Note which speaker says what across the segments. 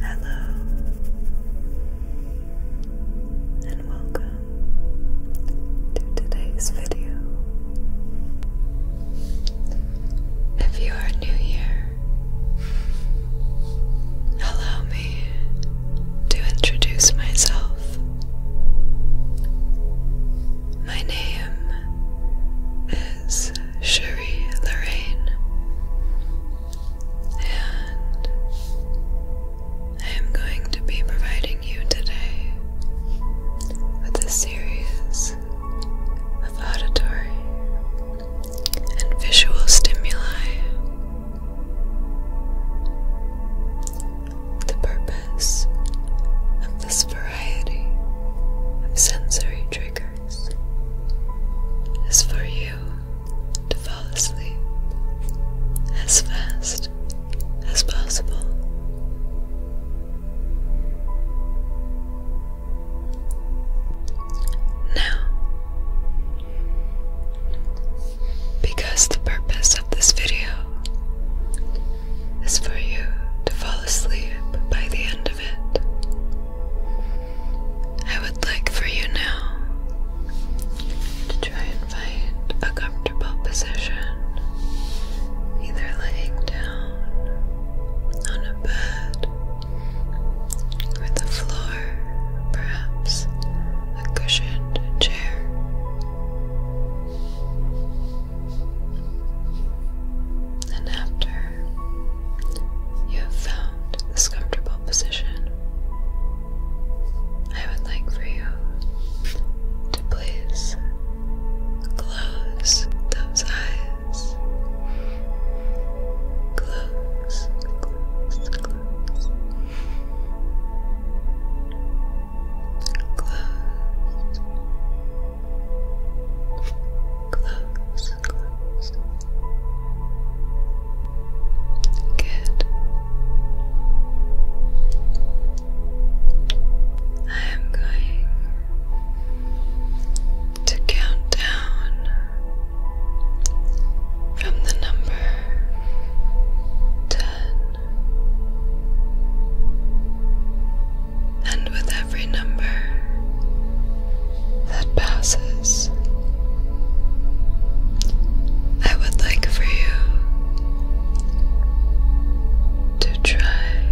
Speaker 1: Hello and welcome to today's video. If you are new here, hello, to introduce myself. My name is Cherie Lorraine, and I am going to be providing you today with a series of auditory and visual stimuli the purpose of this variety of sensory triggers is for you to fall asleep as fast as possible. Now, because the purpose of this video is for you to fall asleep by the end of it. I would like for you now to try and find a comfortable position, either laying down on a bed or the floor perhaps a cushioned chair. And after you have found this comfortable position, I would like for you to please close those eyes. Close, close, close. Close. Close, close. Good. I am going to count down from the number ten. And with every number that passes, I would like for you to try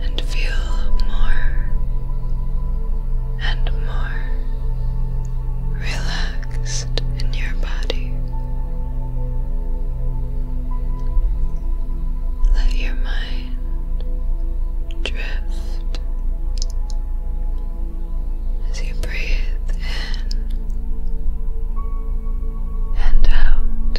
Speaker 1: and feel more and more relaxed in your body. Let your mind drift as you breathe in and out.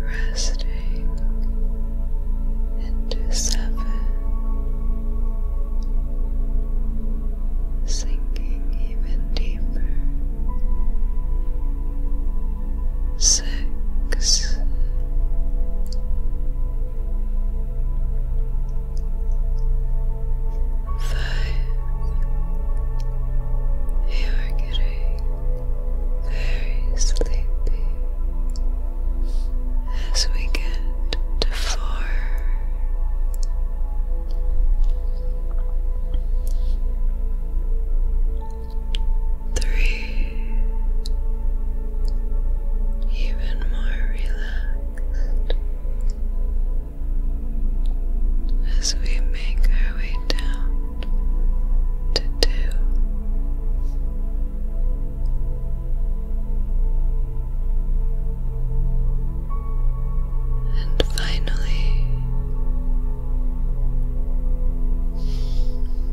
Speaker 1: resting into seven, sinking even deeper, six. Five. You are getting very sleepy. As we get to four. Three, even more relaxed as we make our way down to two. And finally,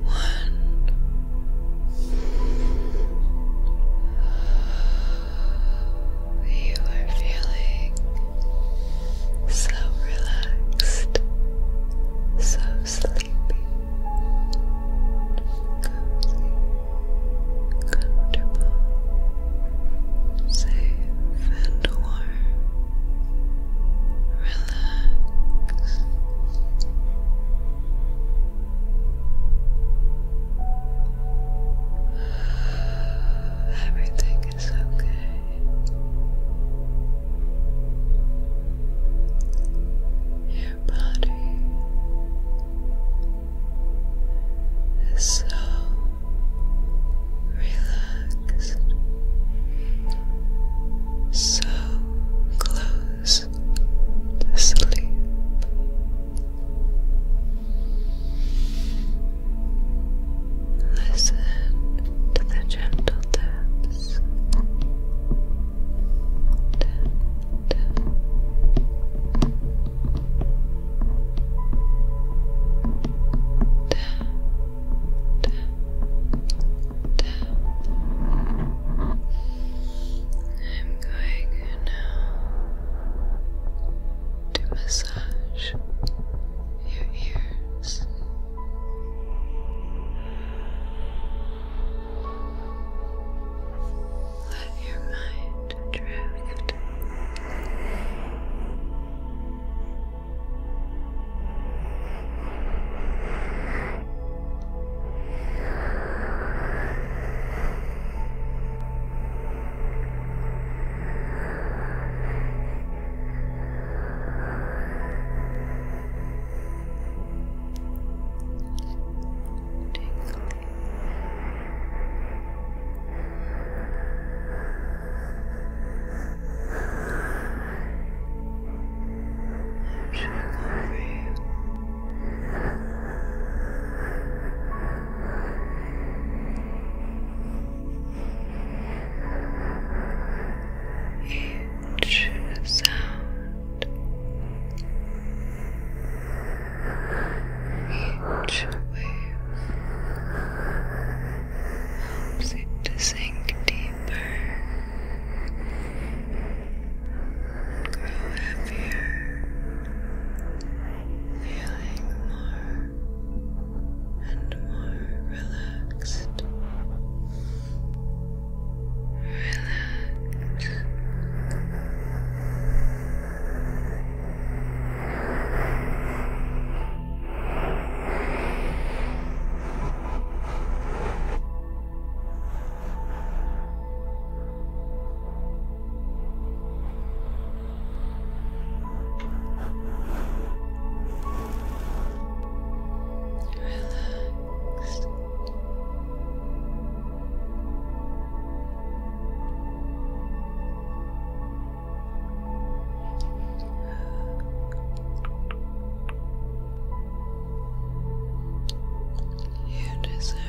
Speaker 1: one. You are feeling so relaxed, so sleepy, cozy, comfortable, safe and warm. Relax. Everything it's okay. Your body is so relaxed, so close to sleep. Listen to the gentle taps. I'm going now to massage your ears. Let your mind drift over you each sound, each wave helps it to sink deeper, grow heavier, feeling more and more relaxed. Relax. Relaxed. You deserve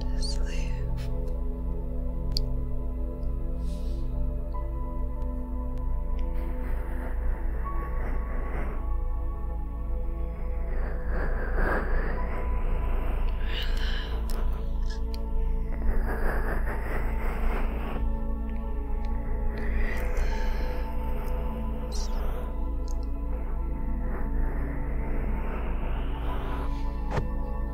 Speaker 1: to sleep. Relax. Relax.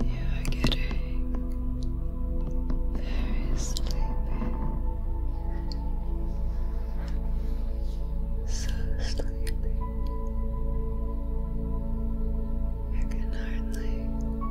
Speaker 1: you are getting very sleepy. So sleepy. You can hardly focus.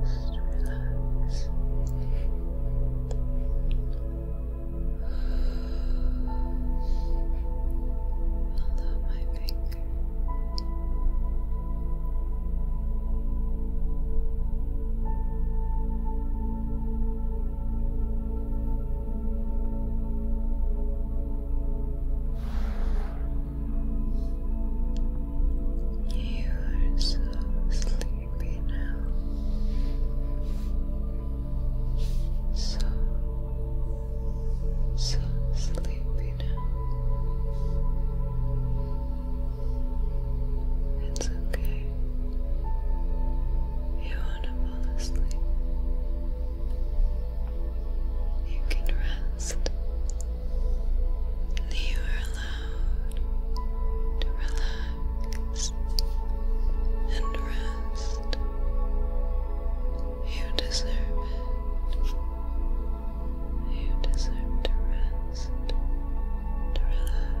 Speaker 1: Just relax. Hold up my finger. Relax. You are so sleepy now. So, so sleepy now. It's okay. You want to fall asleep. You can rest. You are allowed to relax and rest. You deserve it. You deserve to rest, to relax.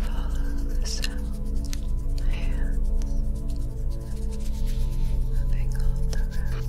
Speaker 1: Follow the sound, the hands moving all around.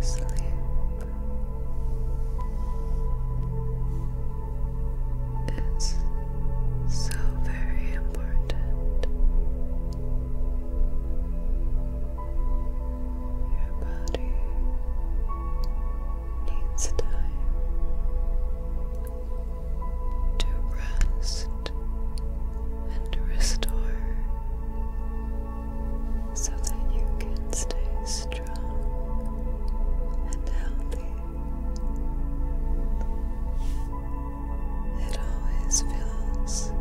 Speaker 1: Sleep. It's so very important. Your body needs time to rest and restore so that you can stay strong and healthy. It always feels so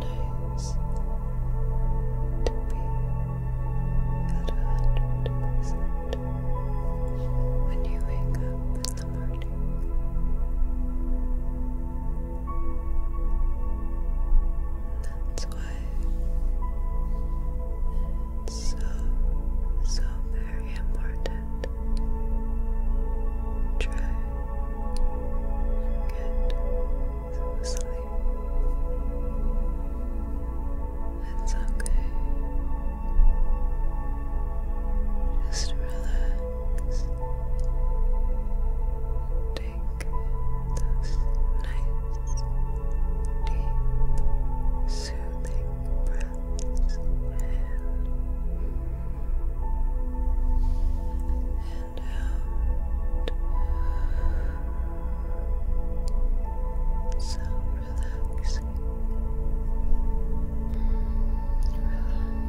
Speaker 1: nice to be at 100% when you wake up that's why it's so, so very important. Try and get some sleep. It's okay. Just relax. Take those nice, deep, soothing breaths in and out. So relaxing. Mm,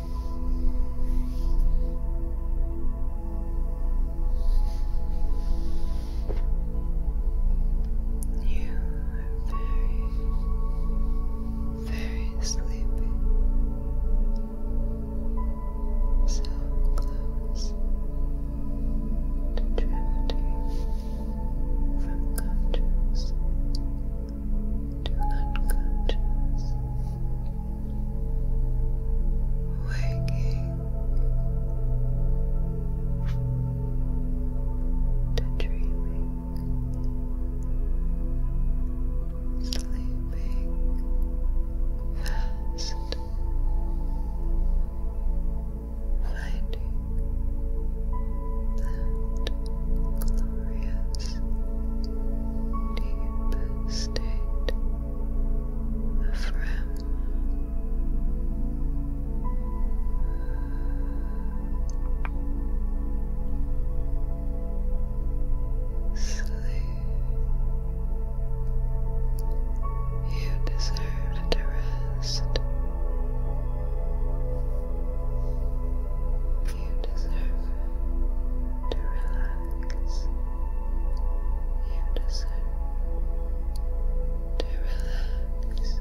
Speaker 1: You are very, very sleepy. So close to drifting from conscious to unconscious, waking to dreaming, sleeping fast, finding that glorious deep state of REM. Sleep. You deserve to rest. You deserve to relax. You deserve to relax. Relax.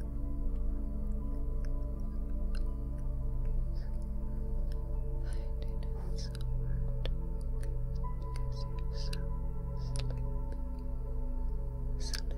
Speaker 1: Finding it so hard to focus because you're so sleepy. Sleepy. Sleepy. Sleepy.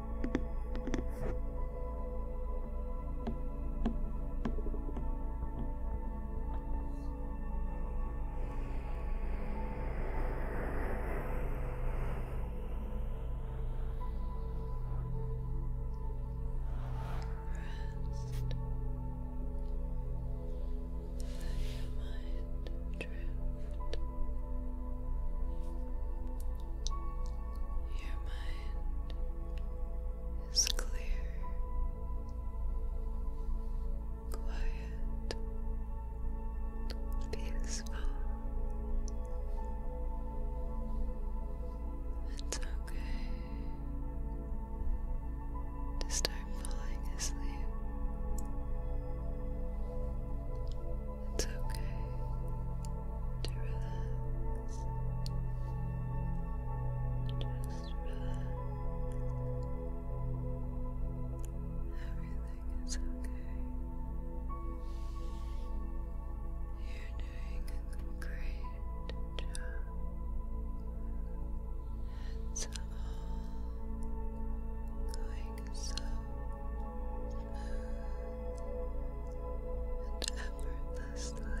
Speaker 1: Let your mind drift. Your mind is clear, quiet, peaceful. It's okay to start falling asleep. It's okay to relax. Just relax. Everything is okay. You're doing a great job. It's all going so and effortlessly. Now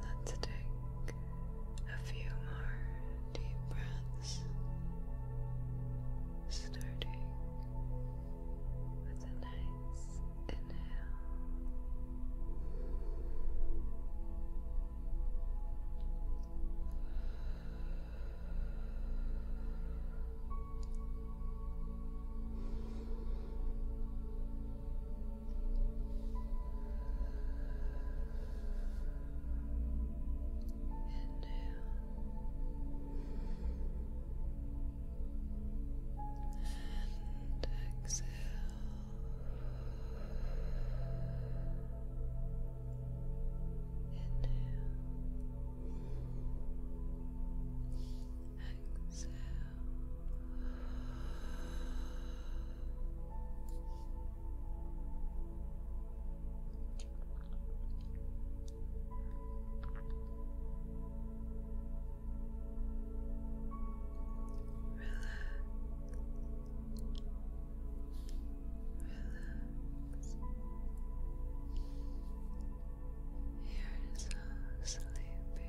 Speaker 1: Let's take a few more deep breaths, starting with a nice inhale and exhale. Inhale. Exhale. You're You're so sleepy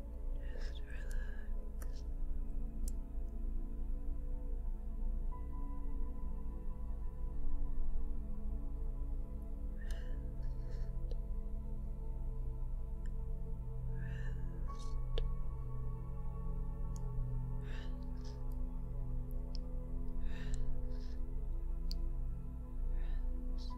Speaker 1: just relax. Rest. Rest. Rest. Rest. Rest.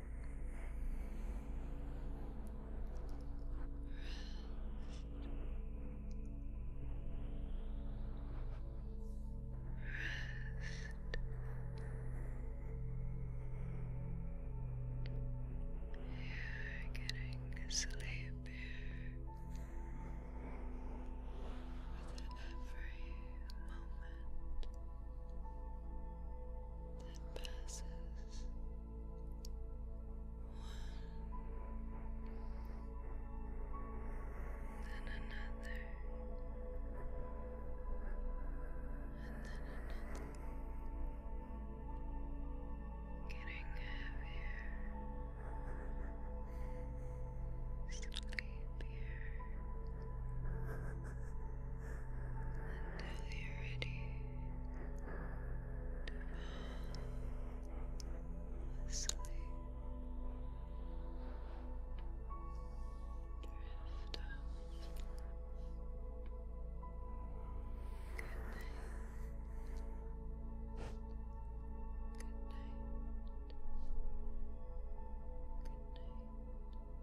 Speaker 1: You're getting sleepier with every moment. It passes one, then another, and then another, getting heavier, Sleepier, until you're ready to fall asleep. Drift off. Good night. Good night. Good night.